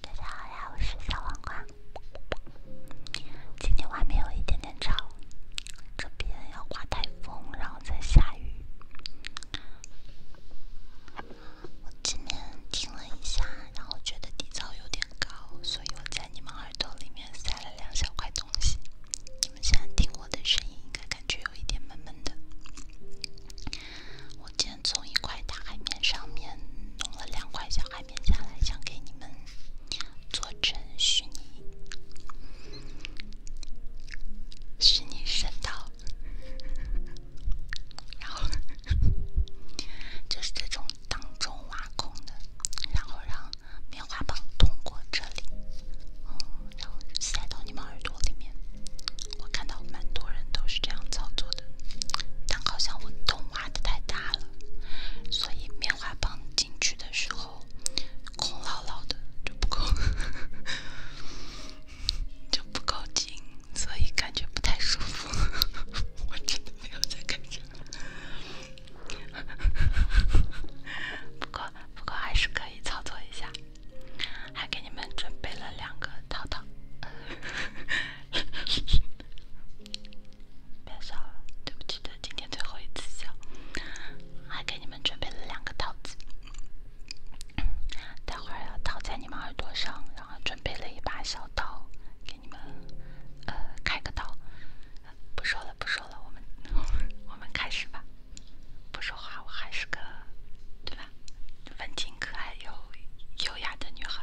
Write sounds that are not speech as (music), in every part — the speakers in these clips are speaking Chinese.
大家好呀，我是小黄瓜。今天外面有一点点吵，这边要刮台风，然后再下雨。我今天听了一下，然后觉得底噪有点高，所以我在你们耳朵里面塞了两小块东西。你们现在听我的声音，应该感觉。有一点闷闷的。我今天从一块大海绵上面弄了两块小海绵下来，想给你们做成虚拟虚拟声道，(laughs) 然后就是这种当中挖空的，然后让棉花棒通过这里，然后塞到你们耳朵里面。我看到蛮多人都是这样操作的，但好像我洞挖的太大了，所以棉花棒进去的时候空落落的，就不够，(laughs) 就不够紧，所以感觉不太舒服。(laughs) 我真的没有在感觉，不过不过还是可以操作一下。还给你们准备了两个套套，(laughs) 别笑了，对不起，这今天最后一次笑。还给你们准备了两个套子，待会儿要套在你们耳朵上，然后准备了一把小刀，给你们呃开个刀。不说了，不说了，我们 (laughs) 我们开始吧。不说话，我还是个对吧？文静、可爱又优雅的女孩。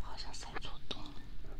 好像塞错洞了。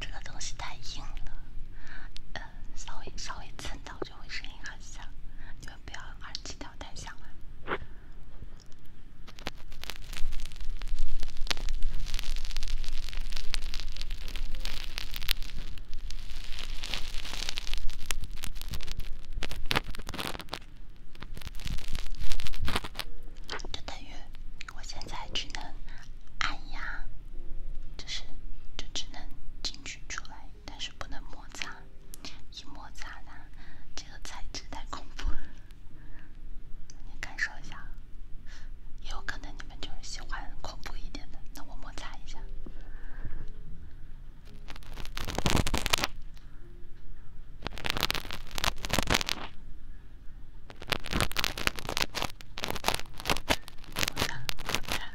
这个东西太硬了，稍微稍微蹭到就会声音很响，你们不要耳机调太响了。这个大约，我现在只能按压，就是就只能进去出来，但是不能摩擦，一摩擦呢，这个材质太恐怖。你感受一下，也有可能你们就是喜欢恐怖一点的。那我摩擦一下，摩擦，摩擦。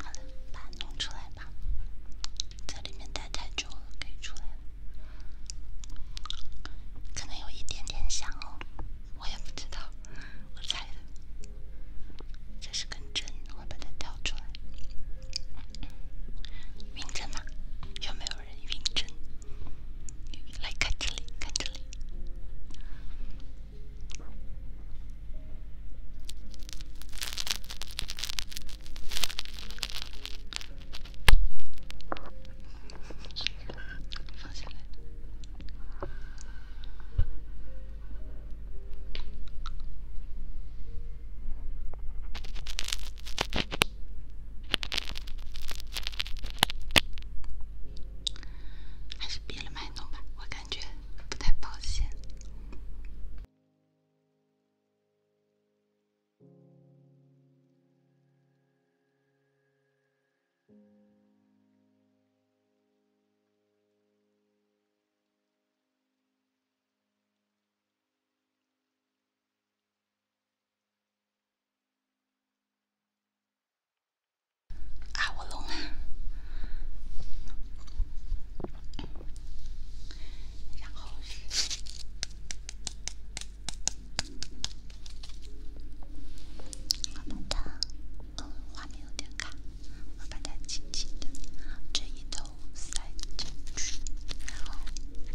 好了，把它弄出来吧，在里面待太久了，可以出来了，可能有一点点想哦，我也不知道，我猜的。这是根针，我要把它挑出来。晕针吗？有没有人晕针？来看这里，看这里。这个放下来。还是别了卖弄吧，我感觉不太保险。阿沃龙，然后是嗯，画面有点卡。我把它轻轻的这一头塞进去，然后进去了吗？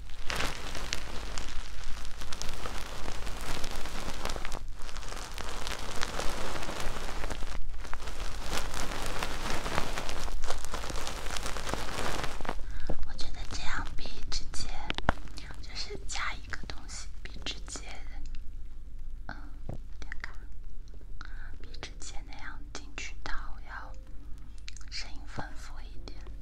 我觉得这样比直接就是加一个东西，比直接的，点卡，比直接那样进去到要声音丰富一点。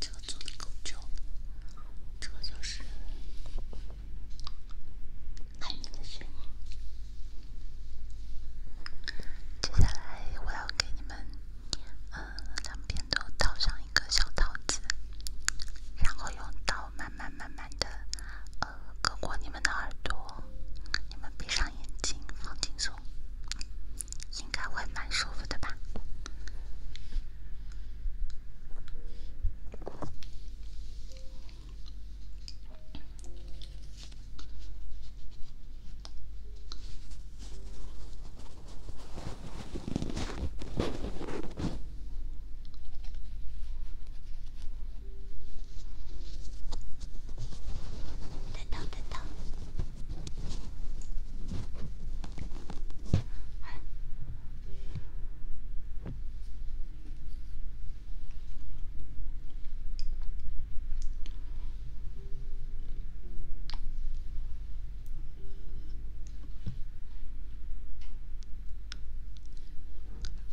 这个做的够久，这个就是海绵的心。接下来我要给你们，呃，两边都套上一个小桃子，然后用刀慢慢慢慢。的，呃，搁过你们的耳朵，你们闭上眼睛，放轻松，应该会蛮舒服的吧。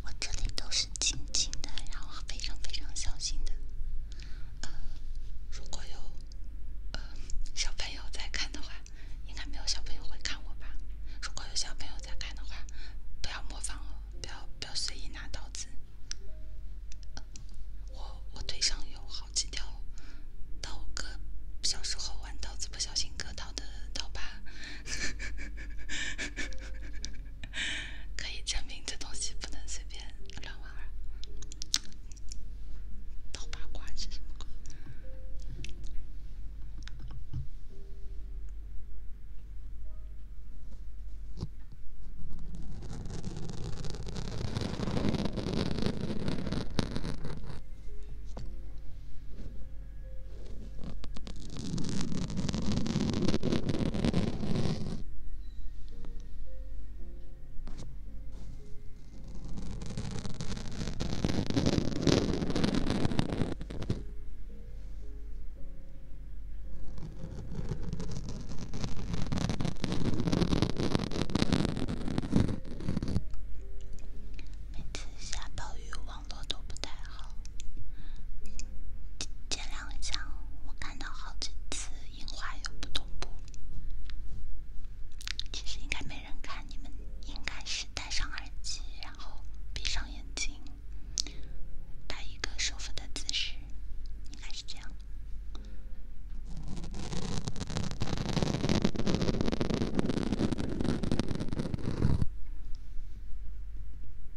我这里都是。轻轻的，然后非常非常小心的。呃，如果有呃小朋友在看的话，应该没有小朋友会看我吧？如果有小朋友在看的话，不要模仿哦，不要不要随意拿刀子。我我腿上有好几条刀割，小时候玩刀子不小心割到的刀疤。(laughs) 可以证明这东西不能随便乱玩。每次下暴雨，往。网络都不太好，见谅一下。我看到好几次樱花有不同步，其实应该没人看，你们应该是戴上耳机，然后闭上眼睛，摆一个舒服的姿势，应该是这样。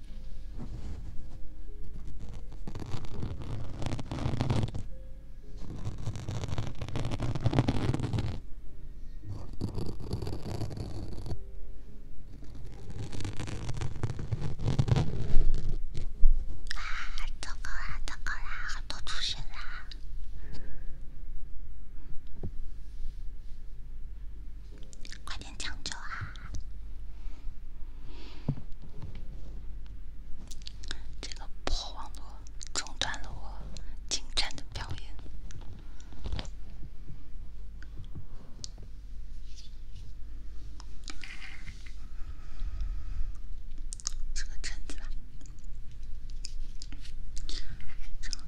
啊！糟糕啦，糟糕啦，好多出血啦！快点抢救啊！这个破网络中断了我精湛的表演。吃个橙子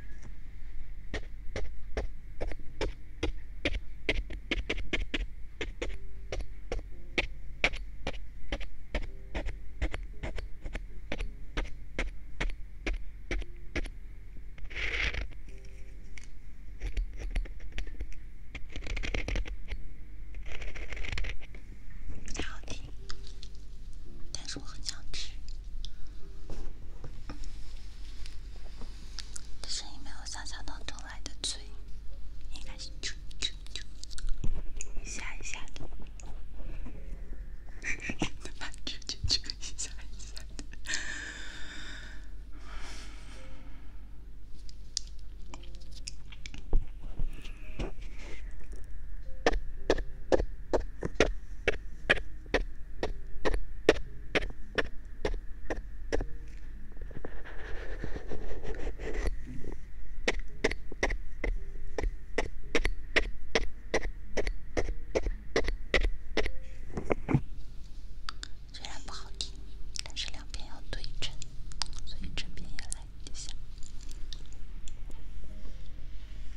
不太好听，但是我很想吃。这声音没有想象当中来的脆，应该是啾啾啾，一下一下的。(laughs) 虽然不好听，但是两边要对称，所以这边也来一下。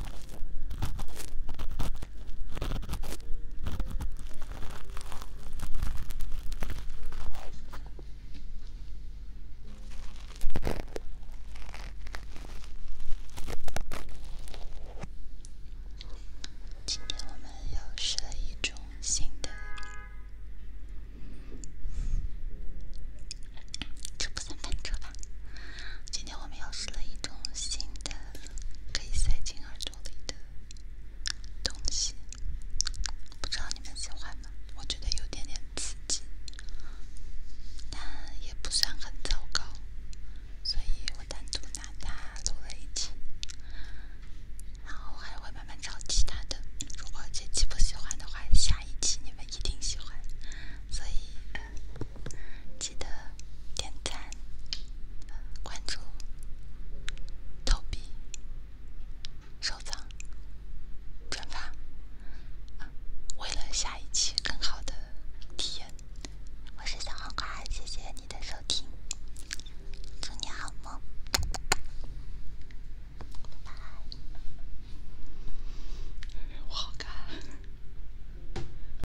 今天又试了一种新的，这不算翻车吧？今天我们又试了一种新的。可以塞进耳朵里的东西，不知道你们喜欢吗？我觉得有点点刺激，但也不算很糟糕，所以我单独拿它录了一期，然后还会慢慢找其他的。如果这期不喜欢的话，下一期你们一定喜欢，所以。记得点赞、关注、投币、收藏、转发，为了下一期更好的体验。我是小黄瓜，谢谢你的收听，祝你好梦，拜拜。我好尬。